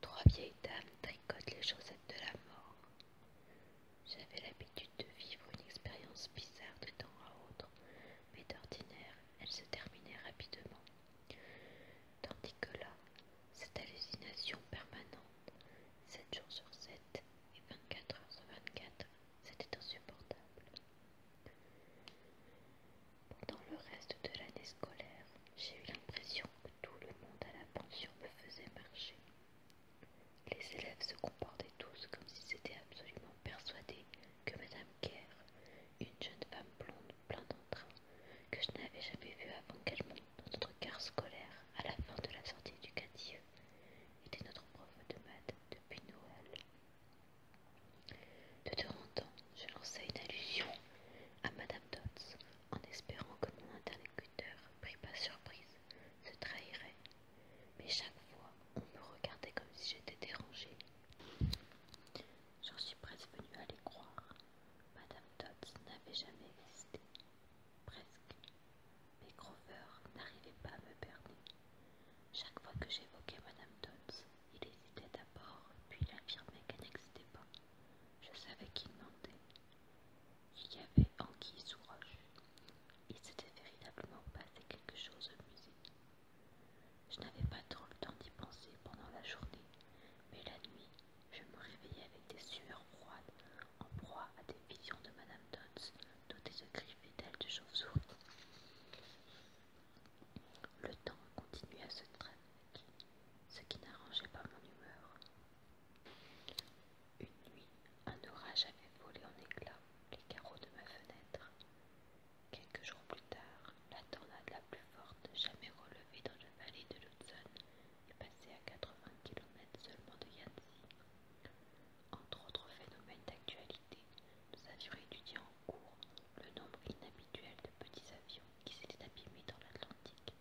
Trois vieilles dames tricotent les chaussettes de la mort. J'avais l'habitude de vivre une expérience bizarre de temps à autre, mais d'ordinaire, elle se terminait rapidement. Tandis que là, cette hallucination permanente, sept jours sur sept et 24 heures sur 24, c'était insupportable. Pendant le reste de l'année scolaire, j'ai eu l'impression que tout le monde à la pension me faisait marcher. Les élèves se comportaient tous comme s'ils étaient absolument persuadés que Mme Kerr, une jeune femme blonde plein d'entrain, que je n'avais jamais vue avant qu'elle monte dans notre car scolaire à la fin de la sortie éducative, était notre prof de maths depuis Noël. De temps en temps, je lançais une allusion à Madame Dodds, en espérant que mon interlocuteur, pris par surprise, se trahirait, mais chaque fois, on me regardait comme si j'étais dérangée. J'en suis presque venue à les croire. Madame Dodds n'avait jamais existé. Presque. Mais Grover n'arrivait pas à me perdre. Chaque fois que j'évoquais Madame Dodds, il hésitait d'abord, puis il affirmait qu'elle n'existait pas. Je savais qu'il mentait. Il y avait Anguille sous roche. Il s'était véritablement passé quelque chose au musée. Je n'avais pas trop le temps d'y penser pendant la journée, mais la nuit, je me réveillais avec des sueurs froides, en proie à des visions de Madame Dodds, dotée de griffes fidèles de chauve-souris. Le temps continuait à se traîner, ce qui n'arrangeait pas mon humeur. Une nuit, un orage avait volé en éclats les carreaux de ma fenêtre. Quelques jours plus tard, la tornade la plus forte jamais relevée dans le vallée de l'Hudson est passée à 80 km seulement de Yancy. Entre autres phénomènes d'actualité, nous avions étudié le nombre inhabituel de petits avions qui s'étaient abîmés dans l'Atlantique,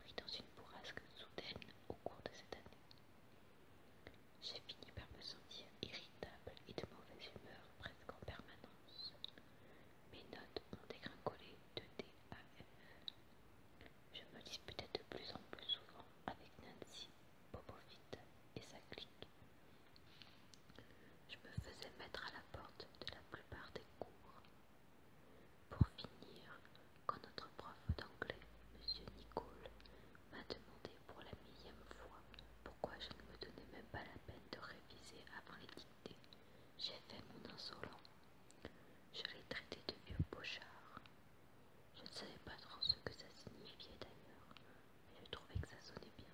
pris dans une bourrasque soudaine au cours de cette année. J'ai fini par me sentir irritable et de mauvaise humeur presque en permanence. Mes notes ont dégringolé de D à F. Je me disputais de plus en plus souvent avec Nancy, Bobovit et sa clique, je me faisais mettre à la porte de la plupart des cours. Pour finir, quand notre prof d'anglais, M. Nicole, m'a demandé pour la millième fois pourquoi je ne me donnais même pas la peine de réviser avant les dictées, j'ai fait mon insolent. Je l'ai traité de vieux pochard. Je ne savais pas trop ce que ça signifiait d'ailleurs, mais je trouvais que ça sonnait bien.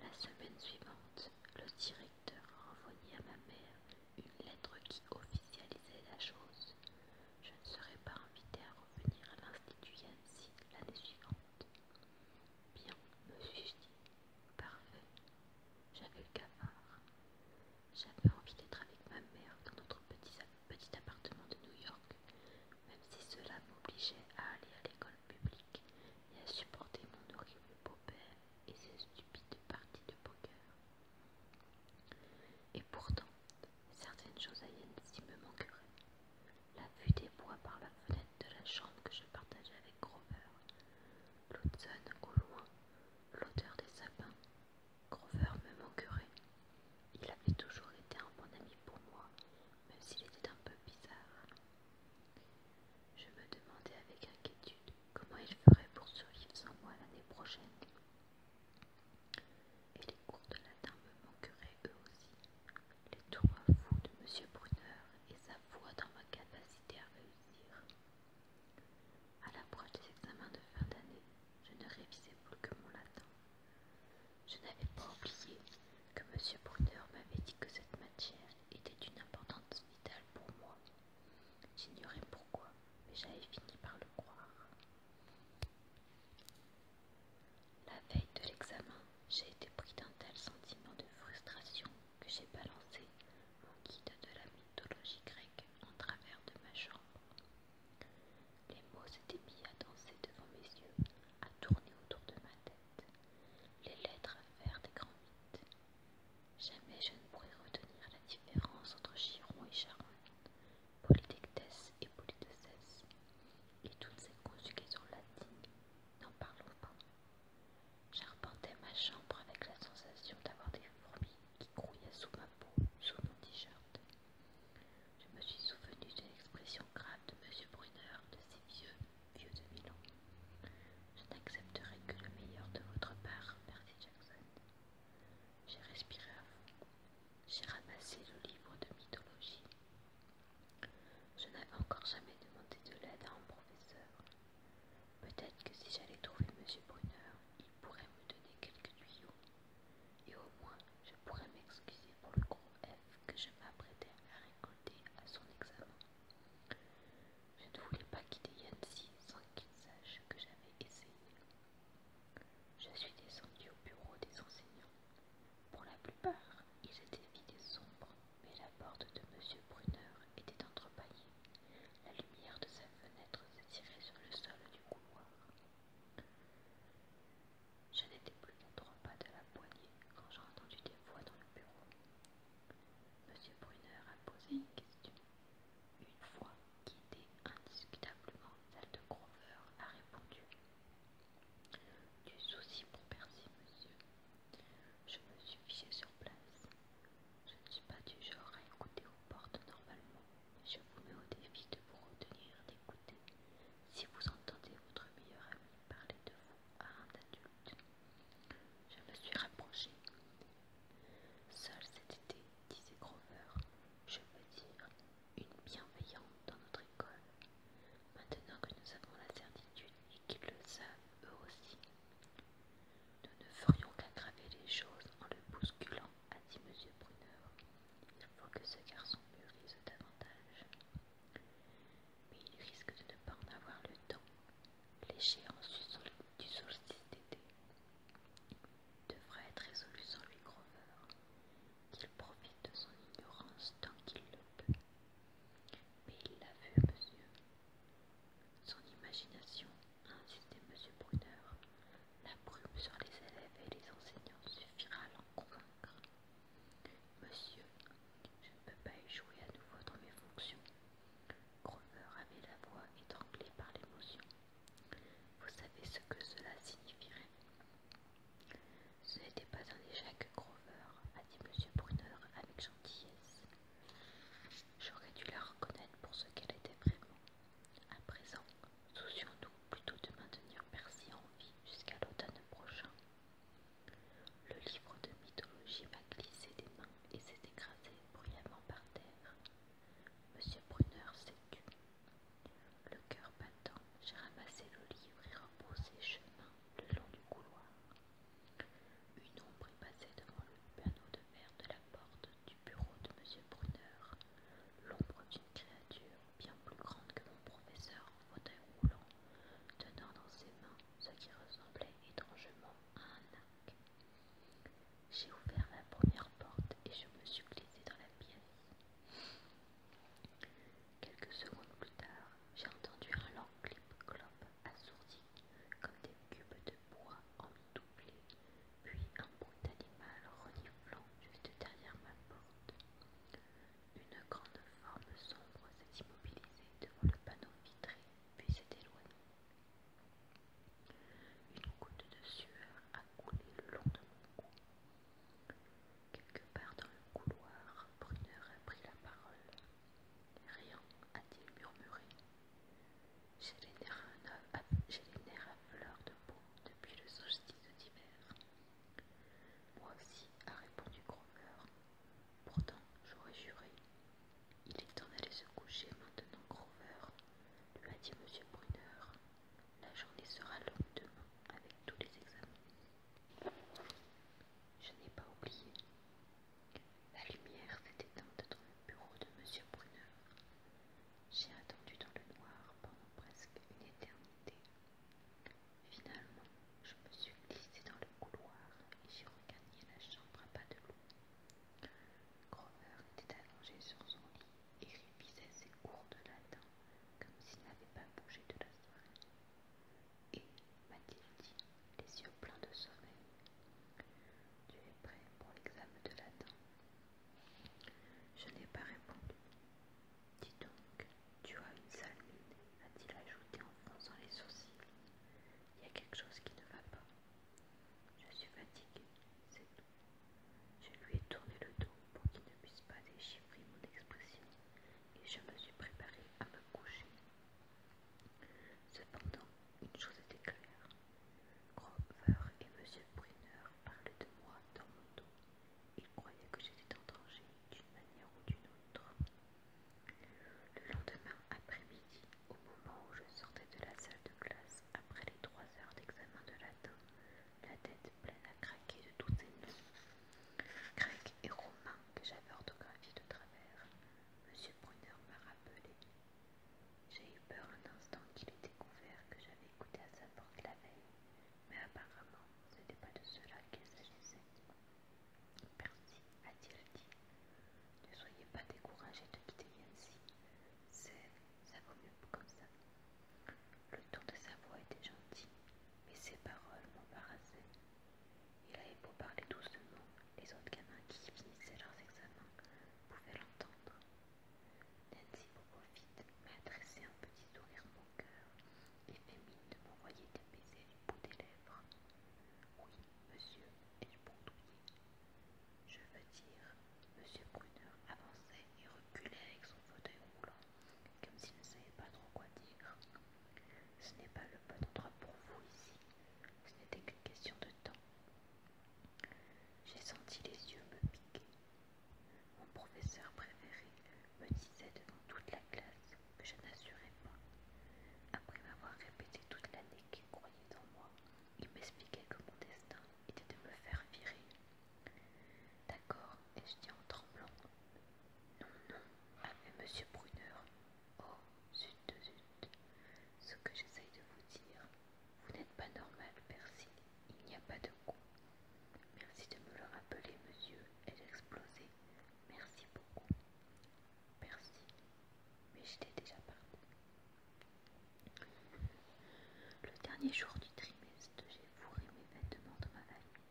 La semaine suivante, le directeur a à ma mère une lettre qui officialisait la chose. Je ne serais pas invitée à revenir à l'Institut Yancy l'année suivante. Bien, me suis-je dit. Parfait. J'avais le cafard. J'avais envie d'être avec ma mère dans notre petit appartement de New York, même si cela m'obligeait à aller à l'école publique et à supporter mon horrible beau-père et ses stupides parties de poker. Et pourtant, certaines choses à si me manqueraient. La vue des bois par la fenêtre de la chambre que je partageais avec Grover, l'automne au loin, l'odeur des sapins, Grover me manquerait. Il avait toujours été un bon ami pour moi, même s'il était un peu bizarre. Je me demandais avec inquiétude comment il ferait pour survivre sans moi l'année prochaine. Et les cours de latin me manqueraient eux aussi. Les tours fous de M. Brunner et sa voix dans ma capacité à réussir. À l'approche des examens de fin d'année, je ne révisais plus que mon latin. Je n'avais pas oublié que M. Brunner m'avait dit que cette matière était d'une importance vitale pour moi. J'ignorais pourquoi, mais j'avais fini par le croire. La veille de l'examen, j'ai été pris d'un tel sentiment de frustration que j'ai balancé mon guide de la mythologie grecque en travers de ma chambre. Les mots s'étaient mis à danser devant mes yeux, à tourner autour de ma tête les lettres à faire des grands mythes. Jamais je ne pourrai retenir la différence entre Chiron et Charonne, Polytectes et politesses et toutes ces conjugaisons latines, n'en parlons pas. J'arpentais ma chambre avec la sensation d'avoir des fourmis qui grouillaient sous ma peau, sous mon t-shirt. Je me suis souvenu de l'expression grave de M. Brunner de ses vieux Vieux de Je n'accepterai que le meilleur de votre part, merci Jackson. J'ai respiré à vous. J'ai ramassé le livre de mythologie. Je n'avais encore jamais demandé de l'aide à un professeur. Peut-être que si j'allais trouver M. Brunner, il pourrait me donner quelques tuyaux. Et au moins, je pourrais m'excuser pour le gros F que je m'apprêtais à à son examen. Je ne voulais pas quitter Yancy sans qu'il sache que j'avais essayé. Je suis descendue au bureau des enseignants. Pour la plupart, ils étaient vides et sombres, mais la porte de M. Brunner était entrepaillée. La lumière de sa fenêtre tirait sur le sol du couloir. Je n'étais plus qu'à trois pas de la poignée quand j'ai entendu des voix dans le bureau. Monsieur Brunner a posé une question. Une voix qui était indiscutablement celle de Grover a répondu. Du souci pour Bercy, monsieur. Je me suis fichée sur place. Je ne suis pas du genre à écouter aux portes normalement, je vous mets au défi de vous retenir d'écouter si vous entendez votre meilleur ami parler de vous à un adulte. Je me suis rapprochée. Seul cet été, disait Grover, je veux dire, une bienveillante dans notre école. Maintenant que nous avons la certitude et qu'ils le savent eux aussi, nous ne ferions qu'aggraver les choses en le bousculant, a dit M. Brunner. Il faut que ce garçon mûrisse davantage. Mais il risque de ne pas en avoir le temps. L'échéance du, solstice d'été devrait être résolue sans lui Grover, qu'il profite de son ignorance tant qu'il le peut. Mais il l'a vu, monsieur. Son imagination, a insisté monsieur Brunner, la brume sur les élèves et les enseignants suffira à l'en convaincre. Monsieur, je ne peux pas échouer à nouveau dans mes fonctions. Grover avait la voix étranglée par l'émotion. Vous savez ce que cela signifierait Ce n'était pas un échec, Grover, a dit Monsieur Brunner avec gentillesse. J'aurais dû la reconnaître pour ce qu'elle était vraiment. À présent, soucions-nous plutôt de maintenir Percy en vie jusqu'à l'automne prochain. Le livre de mythologie m'a glissé des mains et s'est écrasé bruyamment par terre. Monsieur Brunner s'est tu. Le cœur battant, j'ai ramassé le livre et reposé chemin le long du couloir. Une ombre est passée devant le panneau de verre de la porte du bureau de Monsieur Brunner, l'ombre d'une créature bien plus grande que mon professeur en fauteuil roulant, tenant dans ses mains ce qui ressemblait étrangement à un arc. J'ai ouvert la première porte et je me suis glissée dans la pièce. Quelques secondes plus tard, j'ai entendu un long clip-clop assourdi comme des cubes de bois en doublé, puis un bruit d'animal reniflant juste derrière ma porte. Une grande forme sombre s'est immobilisée devant le panneau vitré, puis s'est éloignée. Une goutte de sueur a coulé le long de mon cou. Quelque part dans le couloir, Brunner a pris la parole. Rien, a-t-il murmuré. J'ai les nerfs à fleur de peau depuis le solstice d'hiver. Moi aussi, a répondu Grover. Pourtant, j'aurais juré. Il est temps d'aller se coucher maintenant, Grover, lui a dit M. Brunner. La journée sera longue demain avec tous les examens. Je n'ai pas oublié. La lumière s'est éteinte dans le bureau de M. Brunner. J'ai attendu dans le noir pendant presque une éternité. Finalement, je me suis glissée dans le couloir et j'ai regagné la chambre à pas de loup. Grover était allongé sur son lit et révisait ses cours de latin comme s'il n'avait pas bougé de la soirée. Et, m'a-t-il dit, les yeux pleins de sommeil, tu es prêt pour l'examen de latin Je n'ai pas répondu. Dis donc, tu as une sale mine, a-t-il ajouté en fronçant les sourcils. Il y a quelque chose qui ne va pas. Je suis fatiguée, c'est tout. Je lui ai tourné le dos pour qu'il ne puisse pas déchiffrer mon expression et je me suis préparée à me coucher. Cependant, une chose était claire. Grover et M. Brunner parlaient de moi dans mon dos il croyait que j'étais en danger d'une manière ou d'une autre. Le lendemain après-midi, au moment où je sortais de la salle de classe après les trois heures d'examen de latin, la tête pleine à craquer de tous ces noms, grecs et romain que j'avais orthographiés de travers, Monsieur Brunner m'a rappelé. J'ai eu peur un instant qu'il ait découvert que j'avais écouté à sa porte la veille mais apparemment ce n'était pas de cela qu'il s'agissait. Merci, a-t-il dit, ne soyez pas découragé de quitter Yancy, ça vaut mieux comme ça. Le ton de sa voix était gentil, mais ses paroles m'embarrassaient. Il avait beau parler doucement, les autres gamins qui finissaient leurs examens pouvaient l'entendre. Nancy profite m'a adressé un petit sourire cœur, et fait mine de m'envoyer des baisers du bout des lèvres. Oui, monsieur, et je Je veux dire, monsieur Brunner avançait et reculait avec son fauteuil roulant, comme s'il ne savait pas trop quoi dire. Ce n'est pas le bon endroit pour vous ici, ce n'était qu'une question de temps. J'ai senti les yeux me piquer. Mon professeur préféré me disait devant toute la classe que je n'assurais pas. Après m'avoir répété toute l'année qu'il croyait en moi, il m'expliquait que mon destin était de me faire virer. D'accord, et je dis en tremblant. Non, non, mais Monsieur Brunner. Oh, zut de zut. Ce que j'essaye de vous dire, vous n'êtes pas normal, Percy. Il n'y a pas de coup. Merci de me le rappeler, monsieur. Elle explosait. Merci beaucoup. Merci. Mais j'étais déjà partie. Le dernier jour du trimestre, j'ai fourré mes vêtements dans ma valise.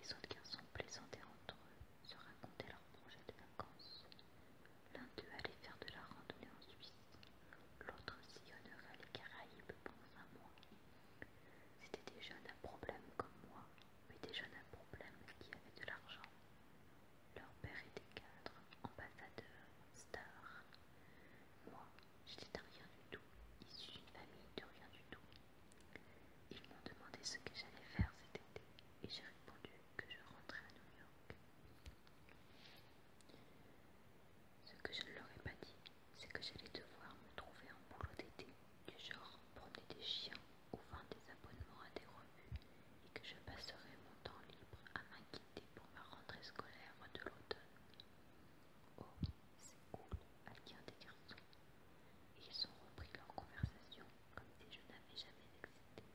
Les autres garçons plaisantaient entre eux, se racontaient leurs projets de vacances. L'un d'eux allait faire de la randonnée en Suisse, l'autre sillonnerait les Caraïbes pendant un mois. C'était des jeunes à problème comme moi, mais des jeunes à problème qui avaient de l'argent. Leur père était cadre, ambassadeur, star. Moi, j'étais un rien du tout, issu d'une famille de rien du tout. Ils m'ont demandé ce que j'allais faire cet été, et j'ai répondu que je rentrais à New York. Ce que je ne leur ai pas dit, c'est que j'allais devoir me trouver un boulot d'été, du genre promener des chiens ou vendre des abonnements à des revues, et que je passerais mon temps libre à m'inquiéter pour ma rentrée scolaire de l'automne. Oh, c'est cool, un des garçons. Et ils ont repris leur conversation comme si je n'avais jamais existé.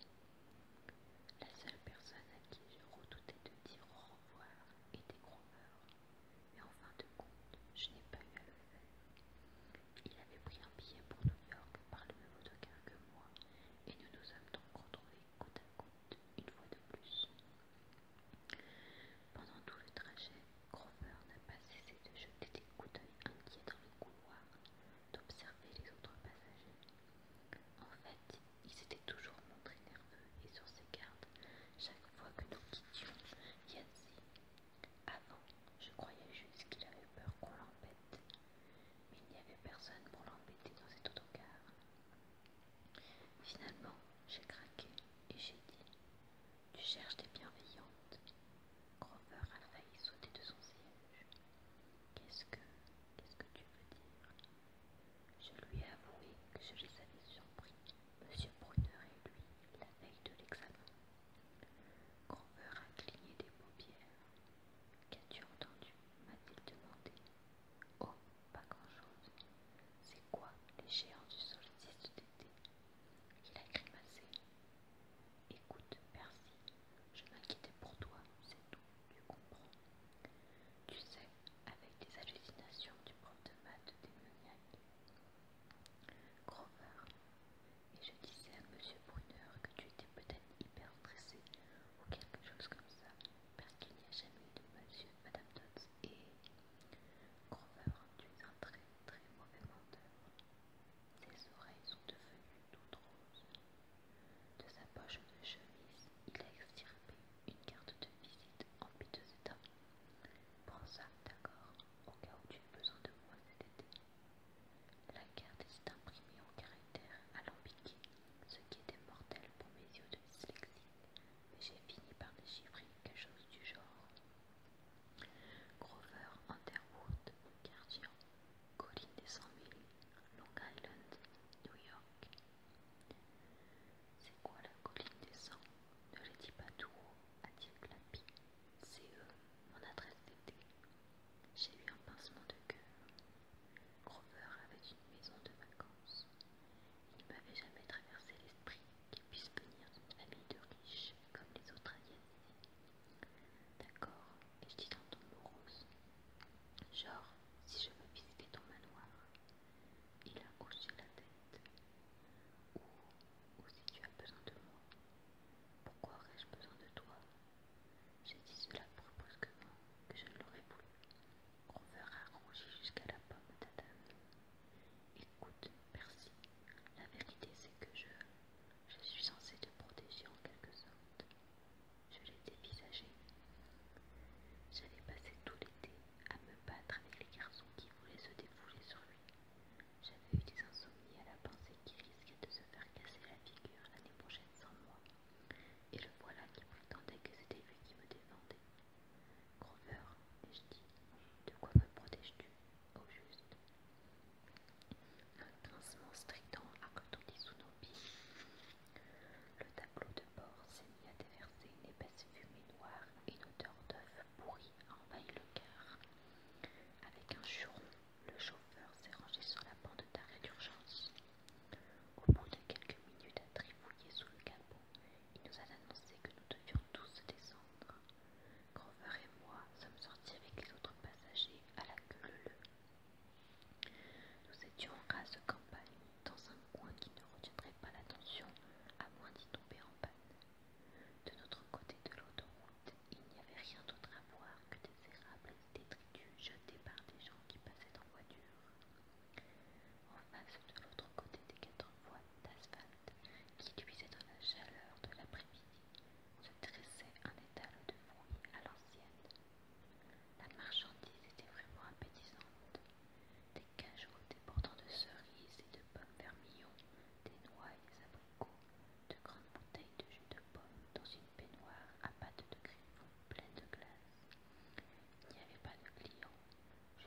La seule personne à qui je redoutais de dire au revoir était Grover mais en fin de compte, je n'ai pas eu à le faire. Il avait pris un billet pour New York par le même autocar que moi, et nous nous sommes donc retrouvés côte à côte une fois de plus. Pendant tout le trajet, Crawford n'a pas cessé de jeter des coups d'œil inquiets dans le couloir, d'observer les autres passagers. En fait, il s'était toujours montré nerveux et sur ses gardes chaque fois que nous quittions Yancy. Avant, je croyais juste qu'il avait peur qu'on l'embête, mais il n'y avait personne pour l'embêter dans cet autocar. Finalement, j'ai craqué et j'ai dit Tu cherches des bienveillantes. Grover a failli sauter de son siège. Qu'est-ce que. Qu'est-ce que tu veux dire je lui ai avoué que je les avais surpris, M. Brunner et lui, la veille de l'examen. Grover a cligné des paupières. Qu'as-tu entendu m'a-t-il demandé. Oh, pas grand-chose. C'est quoi les géants du solstice d'été Il a grimacé. Écoute, Percy, je m'inquiétais pour toi, c'est tout, tu comprends. Tu sais, avec les hallucinations du prof de maths démoniaque. Grover, et je disais à Monsieur Brunner que tu étais peut-être hyper stressé ou quelque chose comme ça, parce qu'il n'y a jamais eu de Monsieur Madame Dodds et. Grover, tu es un très très mauvais menteur. Ses oreilles sont devenues toutes roses. De sa poche de chemise, il a extirpé une carte de visite en piteux état. Prends ça, d'accord, au cas où tu aies besoin de moi cet été. La carte est imprimée en caractères alambiqué, ce qui était mortel pour mes yeux de dyslexie, mais j'ai fini par déchiffrer quelque chose du genre. Grover Underwood, Gardien, Colline des 100 000, Long Island, New York, c'est quoi la colline des sangs Ne les dis pas tout haut, a t clapi. C'est eux, mon adresse d'été. J'ai eu un pincement de cœur. Grover avait une maison de vacances. Il ne m'avait jamais traversé l'esprit qu'il puisse venir d'une famille de riches comme les autres aliénés. D'accord, et je dis en ton morose. Genre, si je veux visiter ton manoir, il a hoché la tête. Ou, si tu as besoin de moi, pourquoi aurais-je besoin de toi J'ai dit cela brusquement que je ne l'aurais voulu. On verra rougir jusqu'à la pomme d'Adam. Écoute, merci. la vérité c'est que je, je suis censée te protéger en quelque sorte. Je l'ai dévisagé. J'avais passé tout l'été à me battre avec les garçons qui voulaient se défouler sur lui. J'avais eu des insomnies à la pensée qu'il risquait de se faire casser la figure l'année prochaine sans moi. Et le voilà qui prétendait que c'était lui qui me défendait. Grover, ai-je dit, de quoi me protèges-tu, au juste Un strictant, strident à sous nos pieds. Le tableau de bord s'est mis à déverser une épaisse fumée noire et une odeur d'œuf pourri envahit le cœur. Avec un juron, le chauffeur s'est rangé sur la bande d'arrêt d'urgence. Au bout de quelques minutes à trifouiller sous le capot, il nous a annoncé que nous devions tous descendre. Grover et moi sommes sortis avec les autres passagers à la queue Nous étions en rase campagne, dans un coin qui ne retiendrait pas l'attention, à moins d'y tomber en panne. De notre côté de l'autoroute, il n'y avait rien d'autre à voir que des érables et des détritus jetés par des gens qui passaient en voiture. En face de l'autre côté des quatre voies d'asphalte qui cuisaient dans la chaleur de l'après-midi, se dressait un étal de fruits à l'ancienne. La marchandise était vraiment appétissante, des cajots déportant de cerises et de pommes vermillons, des noix et des abricots, de grandes bouteilles de jus de pomme dans une baignoire à pâte de griffon pleine de glace. Il n'y avait pas de clients,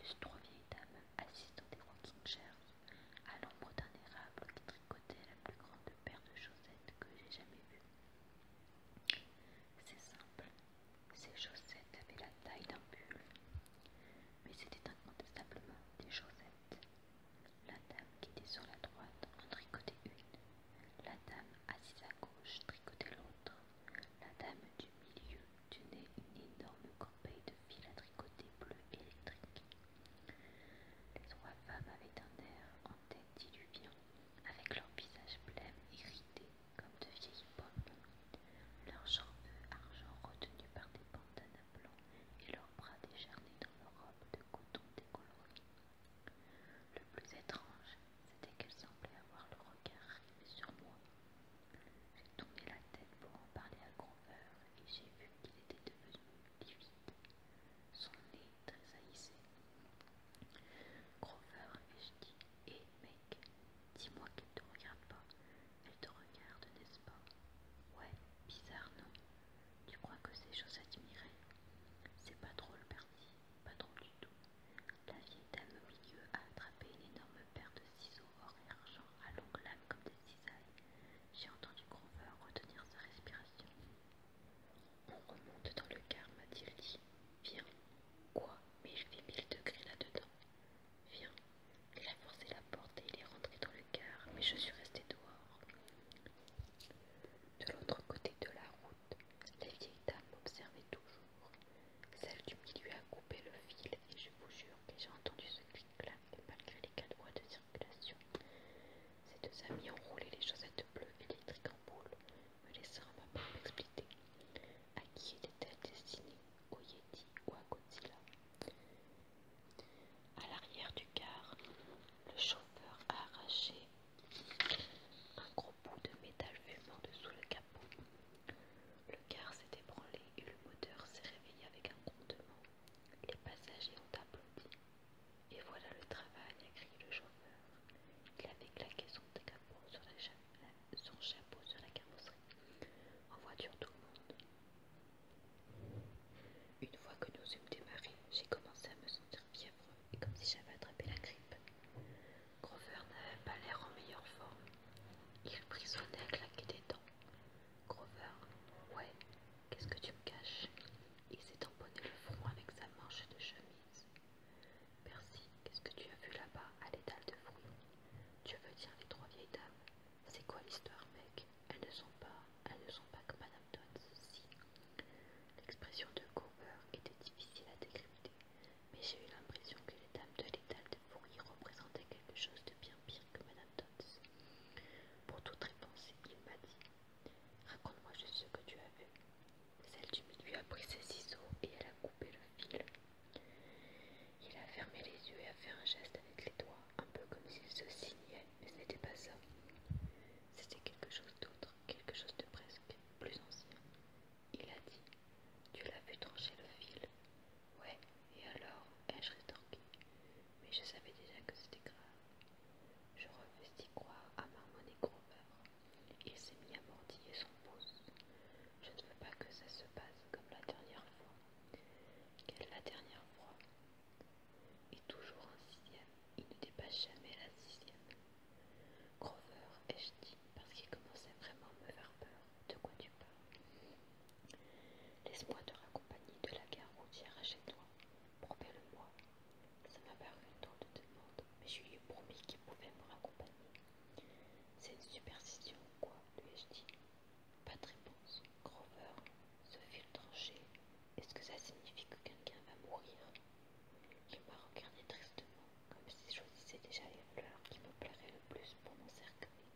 juste trois vieilles dames assises des rocking chairs, à l'ombre d'un érable qui tricotait la plus grande paire de chaussettes que j'ai jamais vue. C'est simple, ces chaussettes avaient la taille d'un pull, mais c'était incontestablement des chaussettes. La dame qui était sur la droite en tricotait une, la dame assise à gauche tricotait l'autre, la dame du milieu tenait une énorme corbeille de fil à tricoter bleu électrique. Les trois femmes avaient un air en tête diluvian, avec leur visage et irrité comme de vieilles pommes, leurs jambes argent retenues par des bandanas blancs et leurs bras décharnés dans leurs robes de coton décolorées. Le plus étrange, c'était qu'elles semblaient avoir le regard rivé sur moi. J'ai tourné la tête pour en parler à Grover et j'ai vu qu'il était devenu livide. Son nez haïssé. Grover, ai-je dit, et mec, dis-moi qu'elle te regarde pas. Elle te regarde, n'est-ce pas Ouais, bizarre, non Tu crois que c'est chose à admirer C'est pas drôle, Bertie, pas drôle du tout. La vieille dame au milieu a attrapé une énorme paire de ciseaux or et argent à longues lames comme des cisailles. J'ai entendu Grover retenir sa respiration. On remonte dans le car, m'a-t-il dit. Viens. Quoi Mais il fait mille degrés là-dedans. Viens. Il a forcé la porte et il est rentré dans le car, mais je suis restée dehors. De l'autre côté de la route, les vieille dames m'observaient toujours. Celle du milieu a coupé le fil et je vous jure que j'ai entendu ce clic-clac malgré les quatre voies de circulation. Ces deux amis ont roulé les chaussettes bleues électriques en boule me laissera ma peau m'expliquer à qui était destiné, destinée, au Yeti ou à Godzilla. À l'arrière du car, le chauffeur a arraché un gros bout de métal fumant dessous le capot. Le car s'est ébranlé et le moteur s'est réveillé avec un grondement. Les passagers ont applaudi. Et voilà le travail, a crié le chauffeur. Il avait claqué son, chapeau sur la carrosserie. En voiture, tout le monde. Une fois que nous eûmes démarré, j'ai commencé à me sentir fiévreux et comme si j'avais attrapé la grippe. Grover n'avait pas l'air en meilleure forme. Il frissonnait à claquer des dents. Grover, ouais, qu'est-ce que tu me caches Il s'est tamponné le front avec sa manche de chemise. « Merci, qu'est-ce que tu as vu là-bas à l'étal de fruits Tu veux dire les trois vieilles dames. C'est quoi l'histoire, mec Elles ne sont pas, elles ne sont pas comme Madame Dodds, si. L'expression de Cooper était difficile à décrypter, mais j'ai eu l'impression que les dames de l'étal de fruits représentaient quelque chose de bien pire que Madame Dodds. Pour toute réponse, il m'a dit Raconte-moi juste ce que tu as vu. Celle du milieu a pris ses ciseaux et elle a coupé le fil. Il a fermé les yeux et a fait un geste avec les doigts, un peu comme s'il se signait, mais ce n'était pas ça. C'était quelque chose d'autre, quelque chose de presque plus ancien. Il a dit Tu l'as vu trancher le fil Ouais, et alors ai-je rétorqué Mais je savais déjà que c'était grave. Je refuse d'y croire, à et Grover. Il s'est mis à mordiller son pouce. Je ne veux pas que ça se passe comme la dernière fois. Quelle la dernière fois Et toujours un sixième. Il ne dépasse jamais la sixième. Grover, ai-je dit, parce qu'il commençait vraiment à me faire peur. De quoi tu parles Laisse-moi te raccompagner de la gare routière à chez toi. Promets-le-moi, ça m'a paru une de demande, mais je lui ai promis qu'il pouvait me raccompagner. C'est une superstition quoi lui ai-je dit. Pas de réponse. Grover ce fil tranché, Est-ce que ça signifie que quelqu'un va mourir Il m'a regardé tristement, comme si je choisissais déjà les fleurs qui me plairaient le plus pour mon cercueil.